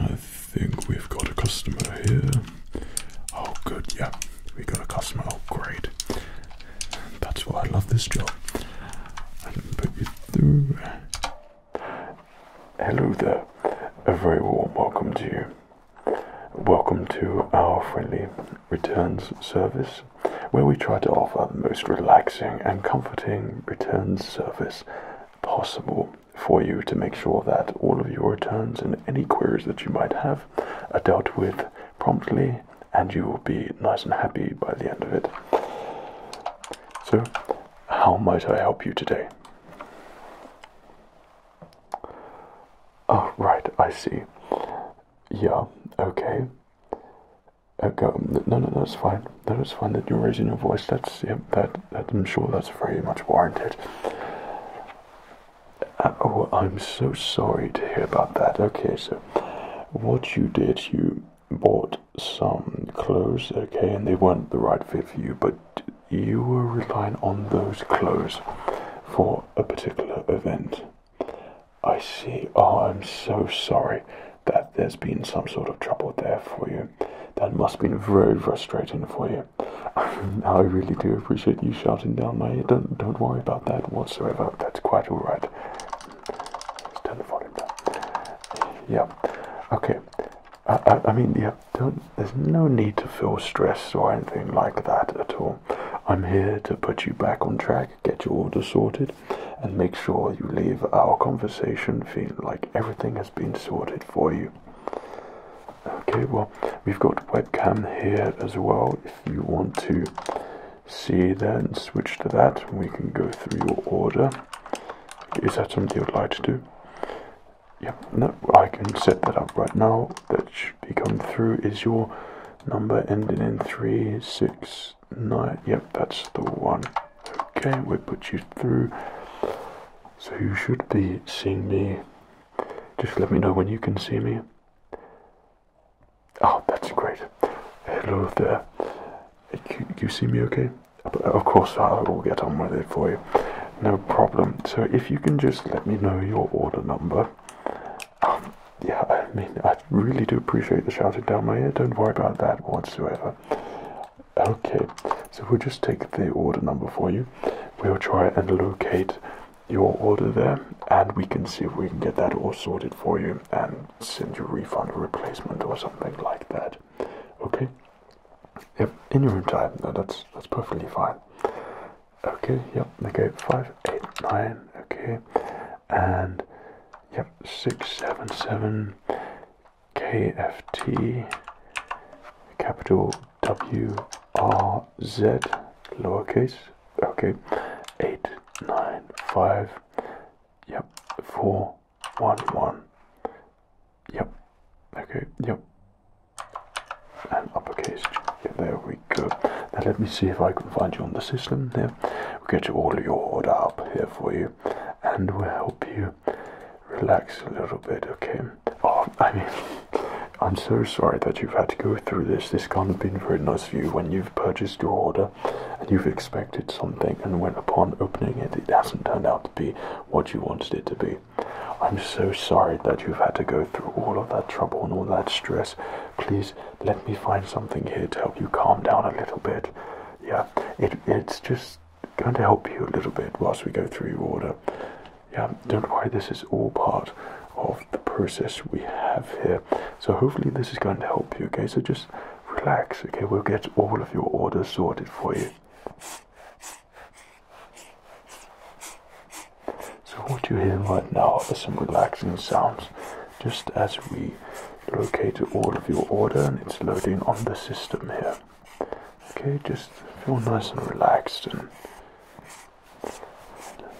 I think we've got a customer here. Oh, good, yeah. We got a customer. Oh, great. That's why I love this job. I put you through. Hello there. A very warm welcome to you. Welcome to our friendly returns service, where we try to offer the most relaxing and comforting returns service possible for you to make sure that all of your returns and any queries that you might have have dealt with promptly, and you will be nice and happy by the end of it. So, how might I help you today? Oh, right, I see. Yeah, okay. Okay, um, no, no, that's fine. That is fine that you're raising your voice. That's, yeah, that, that I'm sure that's very much warranted. Uh, oh, I'm so sorry to hear about that. Okay, so what you did, you bought some clothes, okay, and they weren't the right fit for you, but you were relying on those clothes for a particular event. I see. Oh, I'm so sorry that there's been some sort of trouble there for you. That must have been very frustrating for you. I really do appreciate you shouting down my Don't, don't worry about that whatsoever. That's quite alright. turn the volume down. Yeah. Okay. I, I, I mean, yeah, don't, there's no need to feel stressed or anything like that at all. I'm here to put you back on track, get your order sorted, and make sure you leave our conversation feeling like everything has been sorted for you. Okay, well, we've got webcam here as well. If you want to see then switch to that, we can go through your order. Is that something you'd like to do? Yep, no, I can set that up right now. That should be coming through. Is your number ending in 369? Yep, that's the one. Okay, we put you through. So you should be seeing me just let me know when you can see me. Oh, that's great. Hello there. You, see me okay? Of course, I will get on with it for you. No problem. So if you can just let me know your order number. Um, yeah, I mean, I really do appreciate the shouting down my ear. Don't worry about that whatsoever. Okay, so we'll just take the order number for you. We'll try and locate your order there, and we can see if we can get that all sorted for you and send you refund or replacement or something like that. Okay? Yep, in your own time. No, that's that's perfectly fine. Okay, yep, okay, five, eight, nine, okay, and yep, six, seven, seven, KFT, capital W R Z lowercase okay eight nine five yep four one one yep okay yep and uppercase there we go now let me see if I can find you on the system there we'll get you all your order up here for you and we'll help you relax a little bit okay oh, I mean, I'm so sorry that you've had to go through this. This can't have been very nice for you when you've purchased your order and you've expected something, and when upon opening it, it hasn't turned out to be what you wanted it to be. I'm so sorry that you've had to go through all of that trouble and all that stress. Please let me find something here to help you calm down a little bit. Yeah, it, it's just going to help you a little bit whilst we go through your order yeah don't worry this is all part of the process we have here so hopefully this is going to help you okay so just relax okay we'll get all of your orders sorted for you so what you hear right now are some relaxing sounds just as we locate all of your order and it's loading on the system here okay just feel nice and relaxed and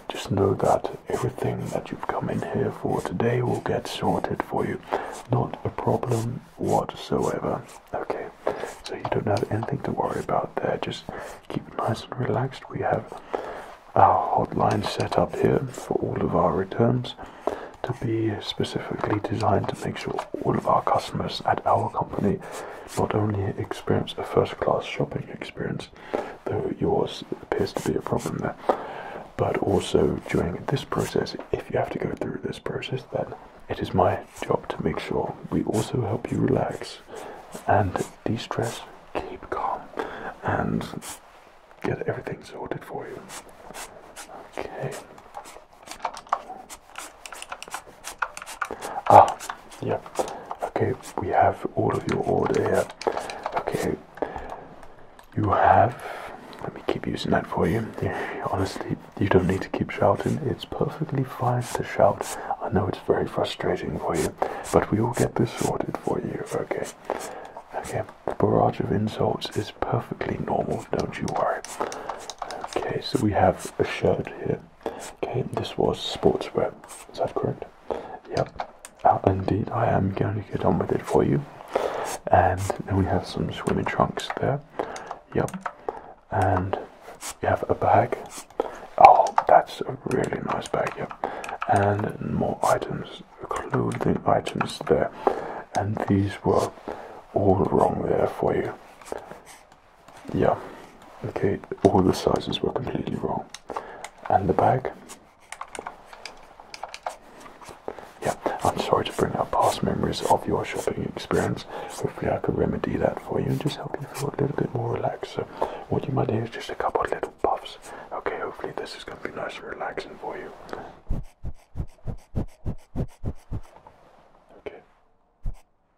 just know that everything that you've come in here for today will get sorted for you. Not a problem whatsoever. Okay, so you don't have anything to worry about there. Just keep it nice and relaxed. We have our hotline set up here for all of our returns to be specifically designed to make sure all of our customers at our company not only experience a first-class shopping experience, though yours appears to be a problem there, but also during this process, if you have to go through this process, then it is my job to make sure we also help you relax and de-stress, keep calm, and get everything sorted for you. Okay. Ah, yeah. Okay, we have all of your order here. Okay, you have. Let me keep using that for you. Honestly, you don't need to keep shouting. It's perfectly fine to shout. I know it's very frustrating for you, but we will get this sorted for you. Okay. Okay, the barrage of insults is perfectly normal, don't you worry. Okay, so we have a shirt here. Okay, this was sportswear. Is that correct? Yep. Uh, indeed, I am going to get on with it for you. And then we have some swimming trunks there. Yep. And we have a bag. Oh, that's a really nice bag. Yep. And more items, clothing items there. And these were all wrong there for you yeah okay all the sizes were completely wrong and the bag yeah i'm sorry to bring up past memories of your shopping experience hopefully i could remedy that for you and just help you feel a little bit more relaxed so what you might need is just a couple of little puffs okay hopefully this is going to be nice and relaxing for you okay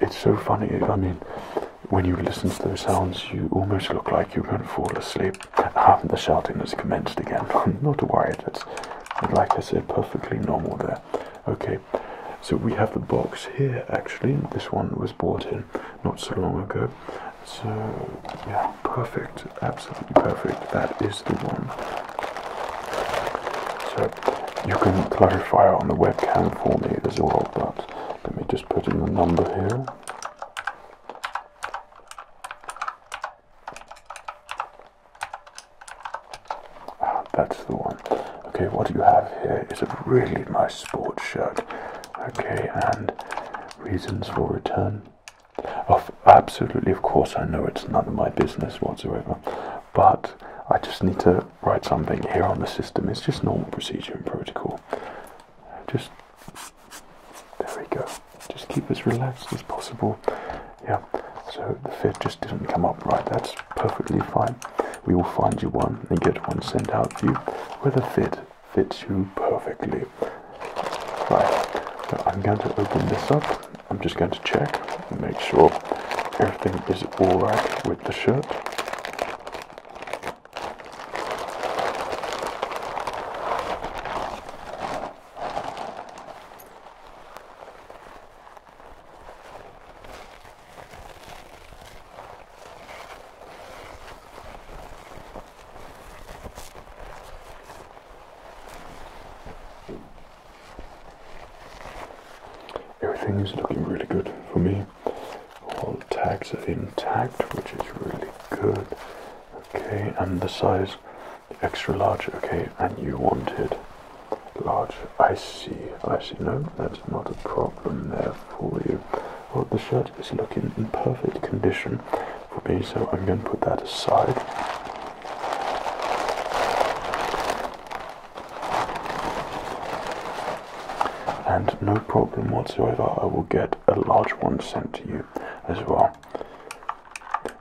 it's so funny. I mean, when you listen to those sounds, you almost look like you're going to fall asleep. Ah, the shouting has commenced again. Not worried. It's like I said, perfectly normal there. Okay, so we have the box here. Actually, this one was bought in not so long ago. So yeah, perfect. Absolutely perfect. That is the one. So you can clarify on the webcam for me as well, but let me just put in the number here. Ah, that's the one. Okay, what you have here is a really nice sports shirt. Okay, and reasons for return. Oh, absolutely, of course, I know it's none of my business whatsoever, but I just need to write something here on the system. It's just normal procedure and protocol. Just there we go. Just keep as relaxed as possible. Yeah. So the fit just didn't come up right. That's perfectly fine. We will find you one and get one sent out to you where the fit fits you perfectly. Right. I'm going to open this up. I'm just going to check and make sure everything is alright with the shirt. Everything is looking really good for me. All tags are intact, which is really good. Okay, and the size, extra large, okay, and you wanted large. I see, I see. No, that's not a problem there for you. Well, the shirt is looking in perfect condition for me, so I'm going to put that aside. And no problem whatsoever, I will get a large one sent to you as well.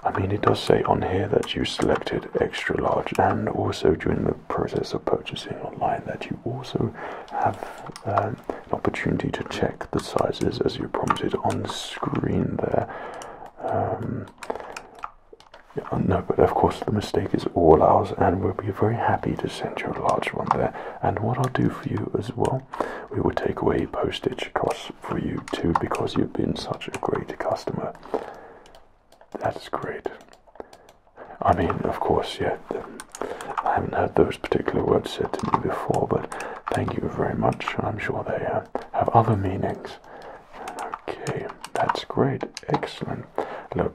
I mean, it does say on here that you selected extra large, and also during the process of purchasing online, that you also have um, an opportunity to check the sizes as you're prompted on screen there. Um, no, but of course, the mistake is all ours, and we'll be very happy to send you a large one there. And what I'll do for you as well, we will take away postage costs for you too because you've been such a great customer. That's great. I mean, of course, yeah, um, I haven't heard those particular words said to me before, but thank you very much. I'm sure they uh, have other meanings. Okay, that's great. Excellent. Look,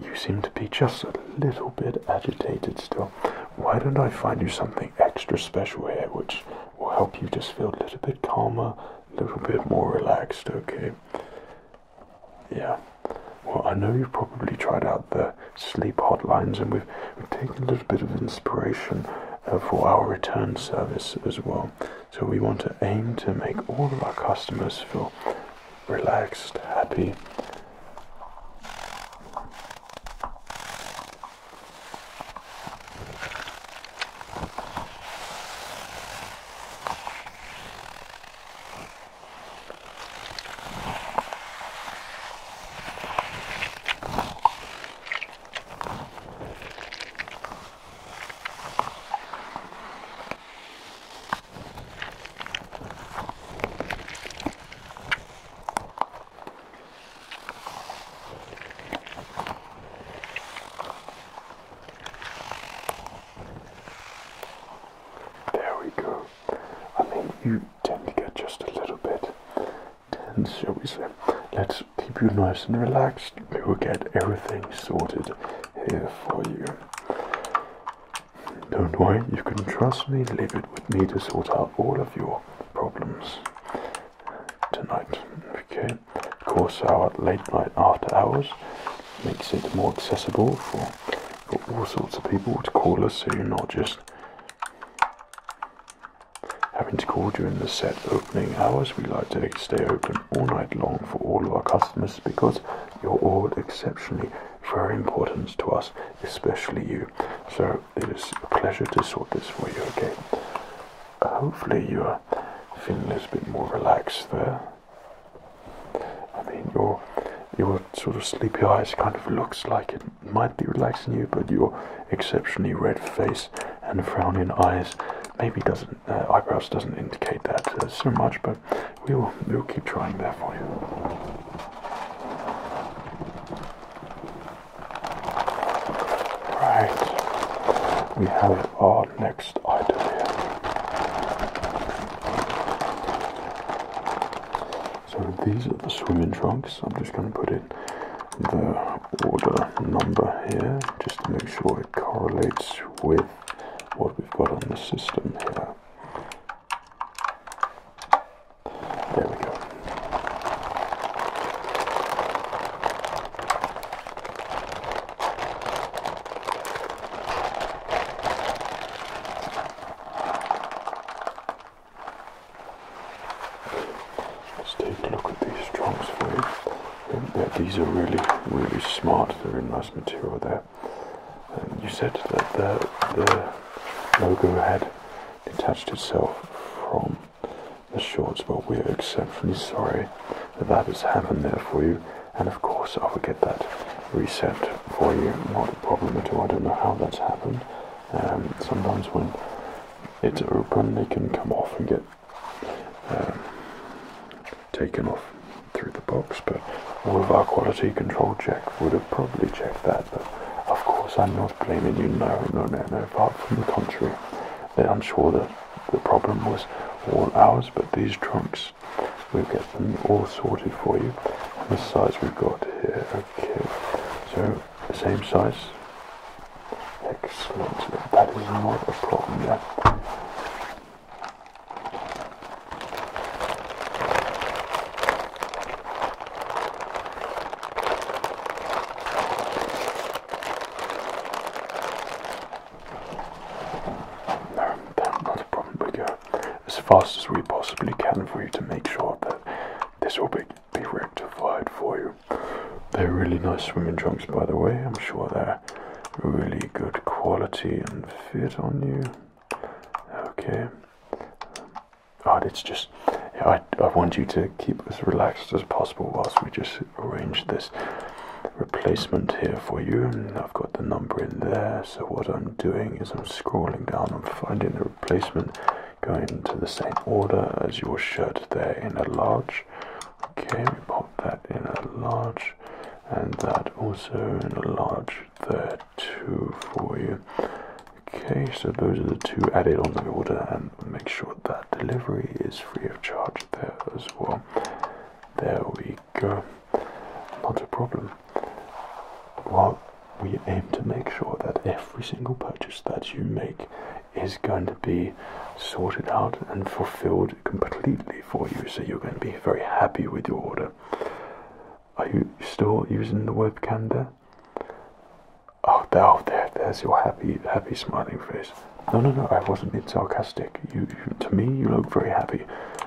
you seem to be just a little bit agitated still. Why don't I find you something extra special here which will help you just feel a little bit calmer, a little bit more relaxed, okay? Yeah. Well, I know you've probably tried out the sleep hotlines, and we've, taken a little bit of inspiration uh, for our return service as well. So we want to aim to make all of our customers feel relaxed, happy. There we go. I mean, you tend to get just a little bit tense, shall we say. Let's keep you nice and relaxed. We will get everything sorted here for you. Don't worry, you can trust me, leave it with me to sort out all of your problems tonight. Okay, of course, our late night after hours makes it more accessible for, for all sorts of people to call us, so you're not just having to call during the set opening hours. We like to stay open all night long for all of our customers because you're all exceptionally very important to us, especially you. So it is a pleasure to sort this for you, again. Hopefully you are feeling a little bit more relaxed there. I mean, your your sort of sleepy eyes kind of looks like it might be relaxing you, but your exceptionally red face and frowning eyes maybe doesn't uh, eyebrows doesn't indicate that uh, so much, but we will we will keep trying that for you. Right, we have our next item here. So these are the swimming trunks. I'm just going to put in the order number here just to make sure it correlates with what we've got on the system here. There we go. Let's take a look at these strongs for you. These are really, really smart. They're in nice material there. Uh, you said that the, logo had detached itself from the shorts, but we're exceptionally sorry that that has happened there for you. And of course, I will get that reset for you. Not a problem at all. I don't know how that's happened. Um, sometimes when it's open, they can come off and get um, taken off through the box, but all of our quality control check would have probably checked that. But of course, I'm not blaming you. No, no, no, no. Far from the contrary, I'm sure that the problem was all ours, but these trunks, we'll get them all sorted for you. And the size we've got here, okay. So the same size. Excellent. That is not a problem there. No, that, not a problem. We go as fast as we possibly can for you to make sure that this will be, be rectified for you. They're really nice swimming trunks, by the way. I'm sure they're really good quality and fit on you. Okay. Oh, it's just, I, I want you to keep as relaxed as possible whilst we just arrange this replacement here for you. I've got the number in there. So what I'm doing is I'm scrolling down and finding the replacement going to the same order as your shirt there in a large. Okay, we pop that in a large and that also and a large there too for you. Okay, so those are the two added on the order and make sure that delivery is free of charge there as well. There we go. Not a problem. Well, we aim to make sure that every single purchase that you make is going to be sorted out and fulfilled completely for you. So you're going to be very happy with your order are you still using the webcam there? Oh, there, oh, there, there's your happy, happy smiling face. No, no, no, I wasn't being sarcastic. You, to me, you look very happy,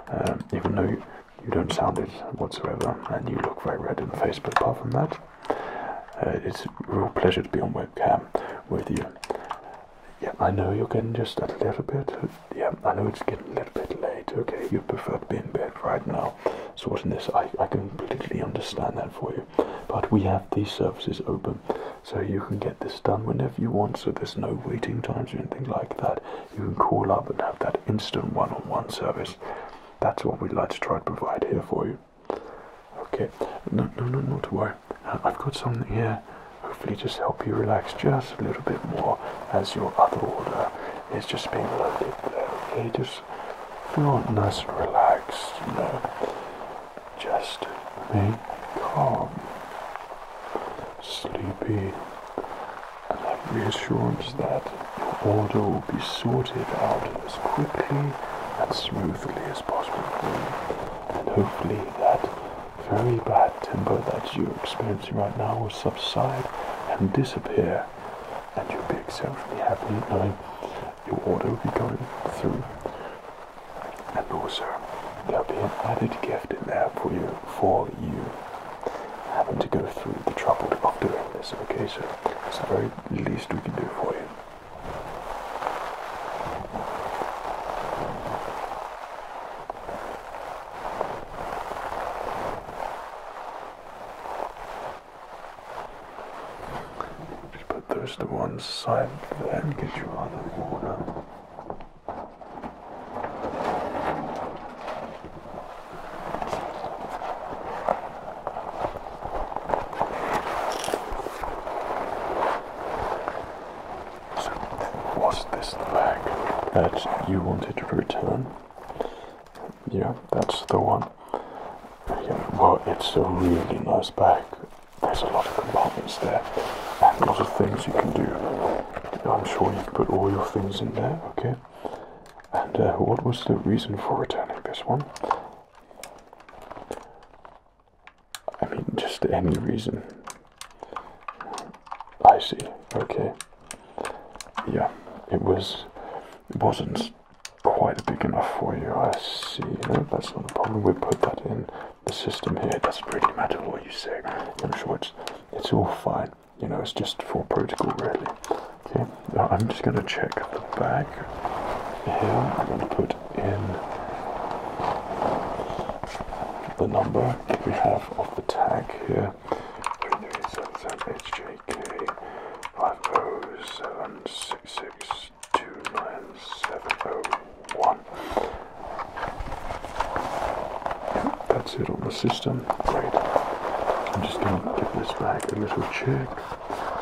um, even though you, don't sound it whatsoever, and you look very red in the face. But apart from that, uh, it's a real pleasure to be on webcam with you. Yeah, I know you're getting just a little bit yeah, I know it's getting a little bit late. Okay, you prefer to be in bed right now, sorting this. I, I can completely understand that for you. But we have these services open, so you can get this done whenever you want. So there's no waiting times or anything like that. You can call up and have that instant one -on -one service. That's what we'd like to try to provide here for you. Okay, no, no, no, not to worry. Uh, I've got something here hopefully just help you relax just a little bit more as your other order is just being loaded there. Okay, just feel nice and relaxed, you know. Just be calm, sleepy, and have reassurance that your order will be sorted out as quickly and smoothly as possible And hopefully that very bad temper that you're experiencing right now will subside and disappear, and you'll be exceptionally happy knowing your order will be going through. And also, there'll be an added gift in there for you, for you having to go through the trouble of doing this. Okay, so it's the very least we can do for you. Just put those to one side there and get your other water. So, was this the bag that you wanted to return? Yeah, that's the one. well, it's a really nice bag. There's a lot of compartments there, and a lot of things you can do. I'm sure you can put all your things in there, okay? And uh, what was the reason for returning this one? I mean, just any reason. I see. Okay. Yeah, it was. It wasn't quite big enough for you. I see. that's not a problem. We put that in the system here. It doesn't really matter what you say. I'm sure it's it's all fine. You know, it's just for protocol, really. Okay. I'm just gonna check the bag. Here, I'm gonna put in the number we have of the tag here. 3377HJK5076629701. Yep, that's it on the system. Great. I'm just going to give this bag a little check.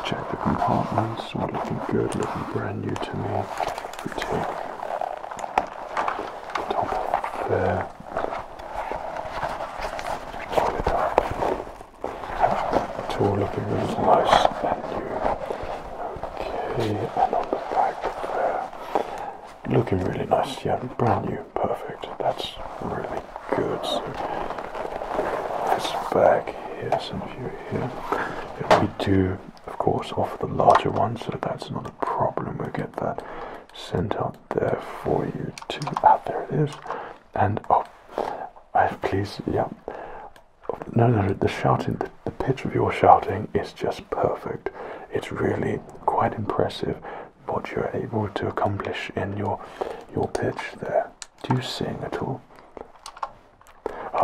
Check the compartments. All looking good, looking brand new to me. top there. It's looking really nice and new. Okay, and on the back there, looking really nice. Yeah, brand new, perfect. That's really good. So this back here, some view here. we do, of course, offer the larger ones, so that's not a problem. We'll get that sent out there for you to. Ah, there it is. And oh, I have please, yeah. No, no, no the shouting, the, the pitch of your shouting is just perfect. It's really quite impressive what you're able to accomplish in your your pitch there. Do you sing at all?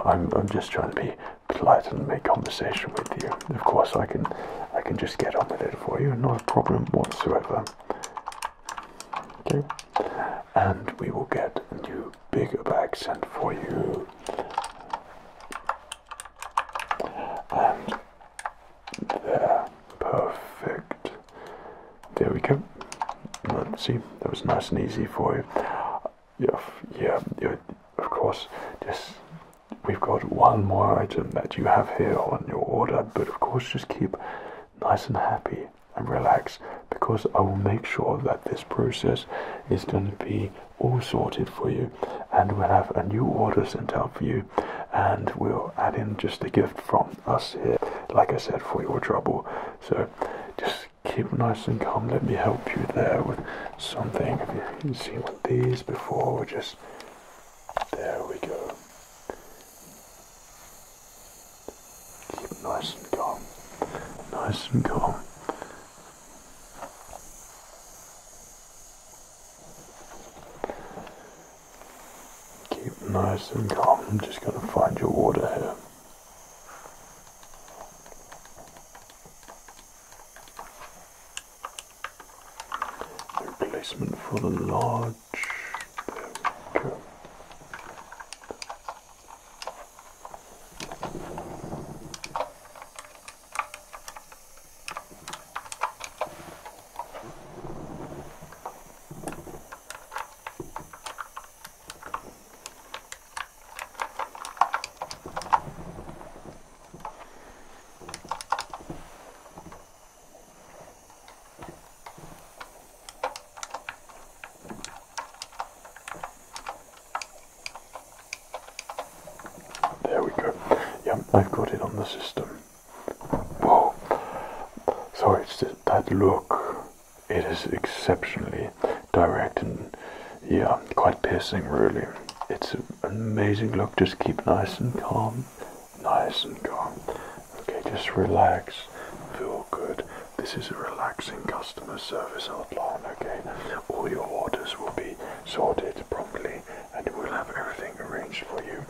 I'm, I'm just trying to be polite and make conversation with you. Of course, I can I can just get on with it for you, not a problem whatsoever. Okay, and we will get a new bigger bag sent for you. And there, perfect. There we go. Let's see, that was nice and easy for you. Yeah, yeah, yeah of course, just We've got one more item that you have here on your order, but of course just keep nice and happy and relax because I will make sure that this process is going to be all sorted for you and we'll have a new order sent out for you and we'll add in just a gift from us here like I said for your trouble so just keep nice and calm let me help you there with something you have you seen one these before we'll just there we go. Keep nice and calm. Nice and calm. Keep nice and calm. I'm just going to find your water here replacement for the lodge. There we go. Yeah, I've got it on the system. Wow. So it's that look. It is exceptionally direct and yeah, quite piercing really it's an amazing look. Just keep nice and calm, nice and calm. Okay, just relax, feel good. This is a relaxing customer service hotline, okay? All your orders will be sorted promptly and we'll have everything arranged for you,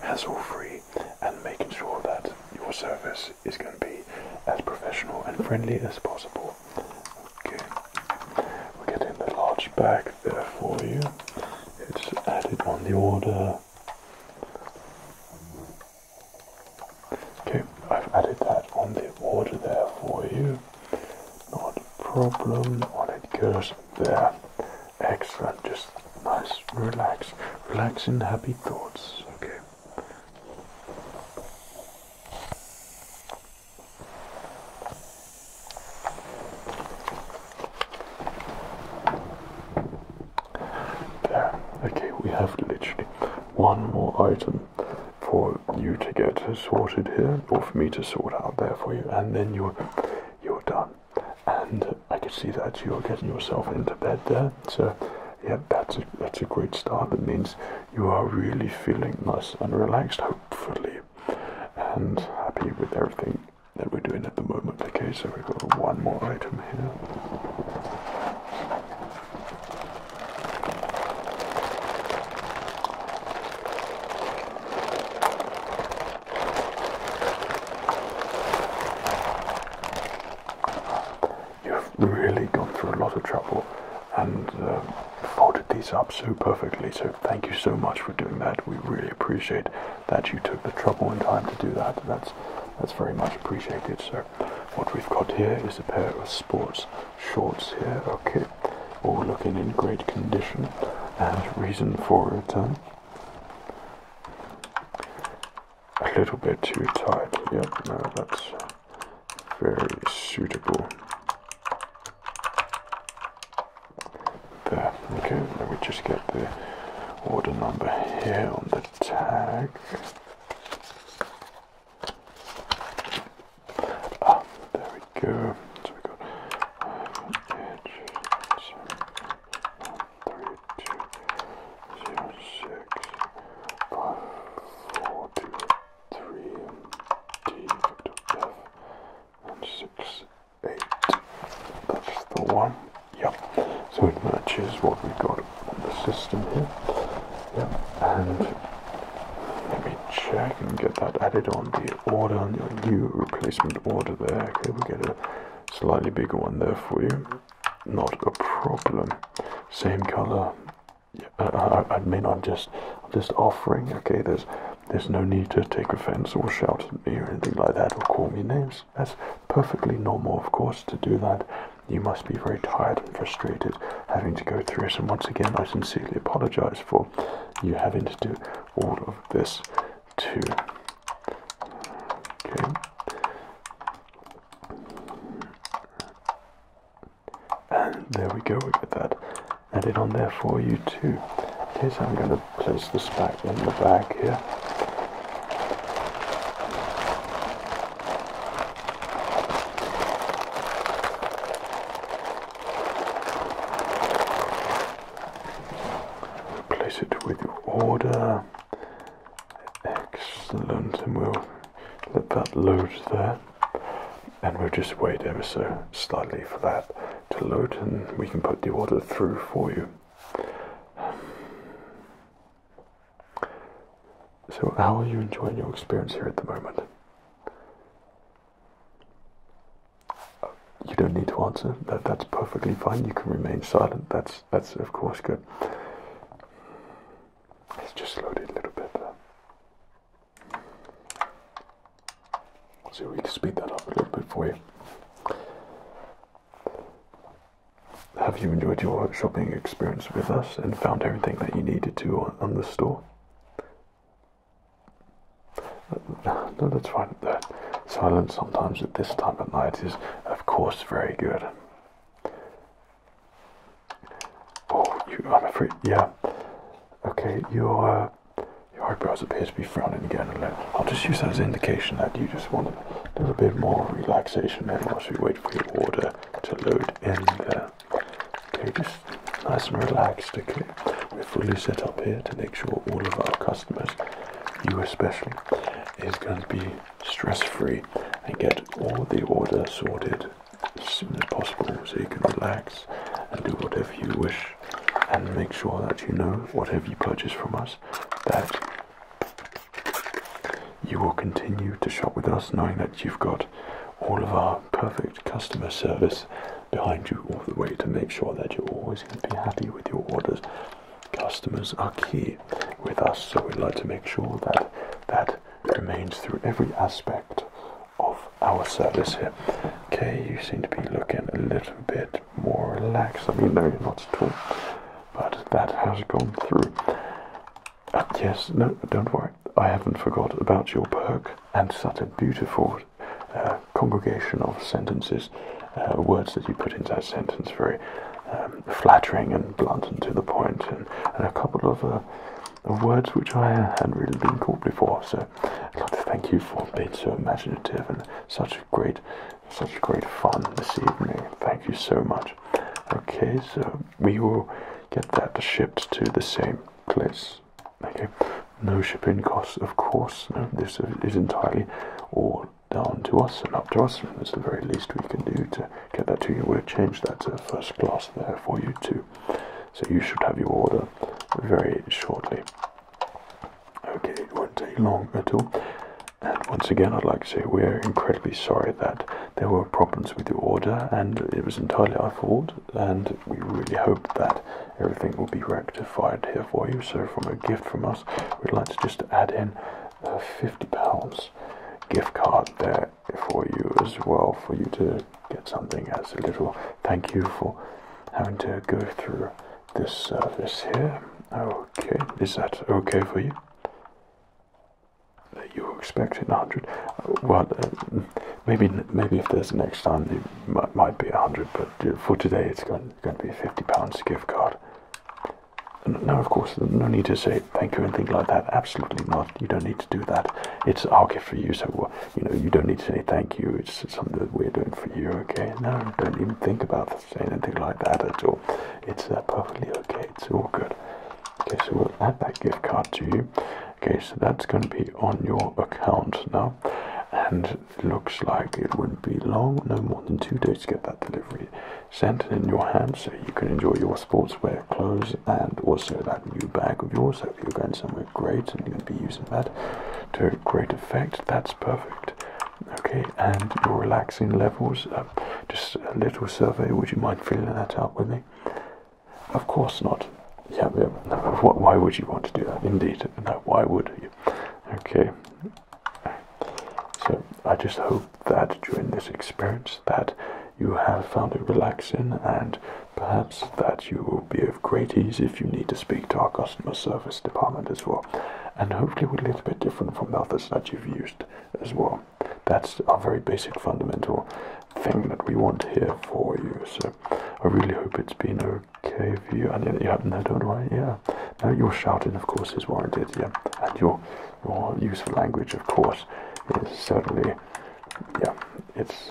hassle-free, and making sure that your service is going to be as professional and friendly as possible. Okay, we're getting the large bag there for you. It's added on the order. Okay, I've added that on the order there for you. Not a problem. On it goes there. Excellent. Just nice, relax, relaxing, happy thoughts. Okay okay, we have literally one more item for you to get sorted here, or for me to sort out there for you, and then you're you're done. And I can see that you're getting yourself into bed there, so yeah, that's a, that's a great start. That means you are really feeling nice and relaxed. Hopefully, and happy with everything that we're doing at the moment. Okay, so we've got one more item here. You've really gone through a lot of trouble and uh, folded these up so perfectly. So thank you so much for doing that. We really appreciate that you took the trouble and time to do that. That's that's very much appreciated. So what we've got here is a pair of sports shorts here. Okay, all looking in great condition. And reason for it. Um, a little bit too tight. Yep, no, that's very suitable there, okay, let me just get the order number here on the tag. Ah, there we go. So we got edge seven, three, two, zero, six, five, four, two, three, D, F, and six eight. That's the one. Yep. So it matches what we got on the system here. Yep. And let me check and get that added on the order on your new replacement order there. Okay, we get a slightly bigger one there for you. Not a problem. Same color. Yeah, I, I, I mean, I'm just just offering. Okay, there's there's no need to take offense or shout at me or anything like that or call me names. That's perfectly normal, of course, to do that. You must be very tired and frustrated having to go through this. And once again, I sincerely apologize for you having to do all of this too. Okay. And there we go, we get that add it on there for you too. Here's how I'm going to place the back in the bag here. Place it with your order. Excellent, and we'll let that load there. And we'll just wait ever so slightly for that to load and we can put the order through for you. So, how are you enjoying your experience here at the moment? You don't need to answer. that's perfectly fine. You can remain silent. That's that's of course good. It's just loaded a little bit Let's see if we can speed that up a little bit for you. Have you enjoyed your shopping experience with us and found everything that you needed to on the store? Uh, no, that's fine. That silence sometimes at this time of night is, of course, very good. Oh, you, I'm afraid, yeah. Okay, you're uh, your eyebrows appear to be frowning again and let, I'll just use that as an indication that you just want a little bit more relaxation there whilst we wait for your order to load in Okay, just nice and relaxed, okay? We're fully set up here to make sure all of our customers, you especially, is going to be stress-free and get all the order sorted as soon as possible so you can relax and do whatever you wish and make sure that you know whatever you purchase from us that you will continue to shop with us knowing that you've got all of our perfect customer service behind you all the way to make sure that you're always going to be happy with your orders. Customers are key with us, so we'd like to make sure that that remains through every aspect of our service here. Okay, you seem to be looking a little bit more relaxed. I mean, no, you're not at all. But that has gone through. Uh, yes, no, don't worry. I haven't forgot about your perk and such a beautiful uh, congregation of sentences, uh, words that you put into that sentence, very um, flattering and blunt and to the point, and, a couple of, words which I hadn't really been caught before. So I'd like to thank you for being so imaginative and such a great, such great fun this evening. Thank you so much. Okay, so we will get that shipped to the same place. Okay, no shipping costs, of course. No, this is entirely all down to us and up to us. It's the very least we can do to get that to you. We'll change that to first class there for you too. So you should have your order very shortly. Okay, it won't take long at all. And once again, I'd like to say we're incredibly sorry that there were problems with your order, and it was entirely our fault. And we really hope that everything will be rectified here for you. So, from a gift from us, we'd like to just add in a fifty pounds gift card there for you as well, for you to get something as a little thank you for having to go through this service here. Okay, is that okay for you? You were expecting 100. Well, uh, maybe maybe if there's next time, it might, might be 100, but uh, for today it's going, to be a £50 gift card. Now, of course, no need to say thank you and things like that. Absolutely not. You don't need to do that. It's our gift for you, so you know you don't need to say thank you it's something that we're doing for you okay no don't even think about saying anything like that at all it's uh, perfectly okay it's all good okay so we'll add that gift card to you okay so that's going to be on your account now and looks like it wouldn't be long no more than two days to get that delivery sent in your hand so you can enjoy your sportswear clothes and also that new bag of yours so if you're going somewhere Great, grades and you will be using that to great effect. That's perfect. Okay, and your relaxing levels, just a little survey. Would you mind filling that out with me? Of course not. Yeah, yeah why would you want to do that? Indeed, no, why would you? Okay, so I just hope that during this experience that you have found it relaxing and Perhaps that you will be of great ease if you need to speak to our customer service department as well. And hopefully we're a little bit different from the others that you've used as well. That's our very basic fundamental thing that we want here for you. So I really hope it's been okay for you. And you haven't had don't worry, yeah. Now your shouting of course is warranted, yeah. And your your use language of course is certainly yeah, it's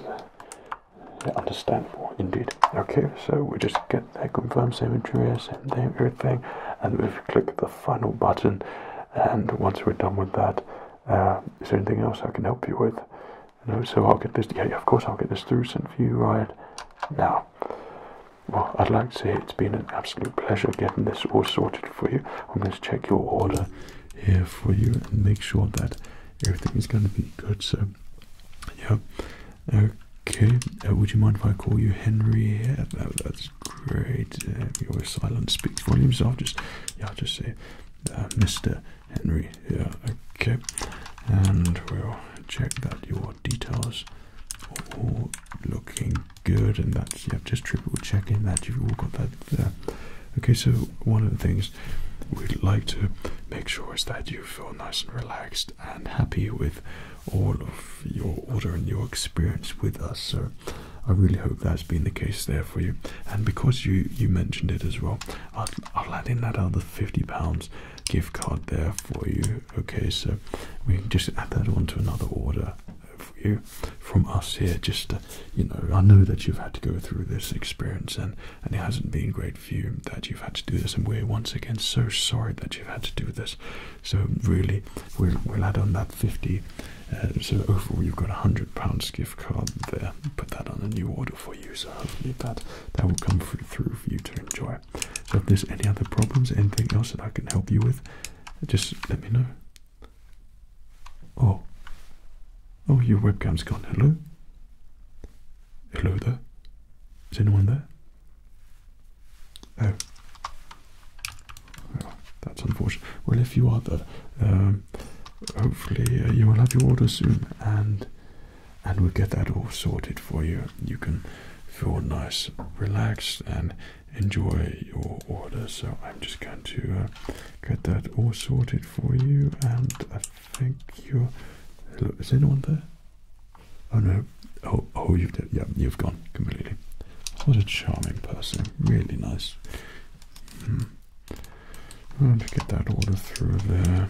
yeah, understandable indeed. Okay, so we just get that confirm same injury, same everything, and we click the final button. And once we're done with that, uh, is there anything else I can help you with? No, so I'll get this. of course I'll get this through sent for you right now. Well, I'd like to say it's been an absolute pleasure getting this all sorted for you. I'm going to check your order here for you and make sure that everything is going to be good. So yeah. Okay. Uh, would you mind if I call you Henry? that's great. Uh, your silence speaks volumes. So I'll just, yeah, just say, uh, Mr. Henry. Yeah. Okay. And we'll check that your details all looking good, and that's yeah, just triple checking that you've all got that uh, Okay, so one of the things we'd like to make sure that you feel nice and relaxed and happy with all of your order and your experience with us. So I really hope that's been the case there for you. And because you, you mentioned it as well, I'll, I'll add in that other £50 gift card there for you. Okay, so we can just add that on to another order for you from us here. Just, you know, I know that you've had to go through this experience and, and it hasn't been great that you've had to do this, and we're once again so sorry that you've had to do this. So really, we'll, add on that 50. Uh, so overall, you've got a hundred pounds gift card there. Put that on a new order for you. So hopefully that that will come through through for you to enjoy. So if there's any other problems, anything else that I can help you with, just let me know. Oh, oh, your webcam's gone. Hello. Hello there. Is anyone there? Oh. oh that's unfortunate. Well, if you are there, um, hopefully uh, you will have your order soon, and and we'll get that all sorted for you. You can feel nice, relaxed, and enjoy your order. So I'm just going to uh, get that all sorted for you, and. Uh, Thank you. Hello, is anyone there? Oh no. Oh, oh, you've Yeah, you've gone completely. What a charming person. Really nice. Hmm. I'll get that order through there.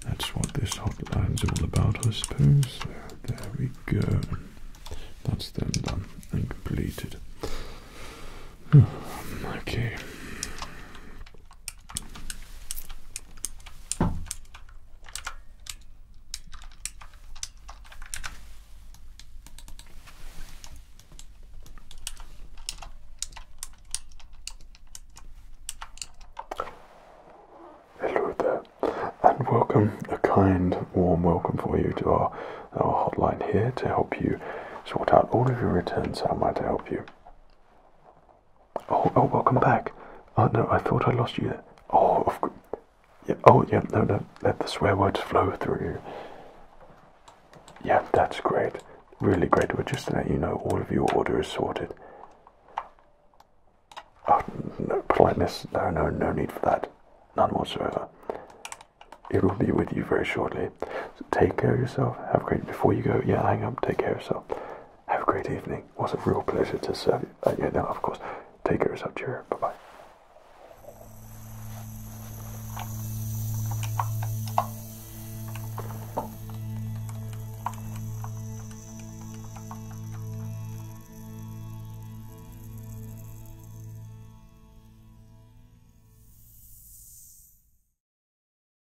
That's what this hotline's all about, I suppose. there we go. That's then done and completed. okay. Hello there, and welcome, a kind, warm welcome for you to our, our hotline here to help you sort out all of your returns. How might I help you? Oh, oh, welcome back. Oh, no, I thought I lost you Oh, Yeah, oh, yeah, no, no, let the swear words flow through. you. Yeah, that's great. Really great. We're just to let you know all of your order is sorted. Oh, politeness. No, no, no need for that. None whatsoever. It will be with you very shortly. take care of yourself. Have a great. Before you go, yeah, hang up. Take care of yourself. Have a great evening. It was a real pleasure to serve you. Uh, yeah, no, of course. Take care of yourself. Cheerio. Bye bye.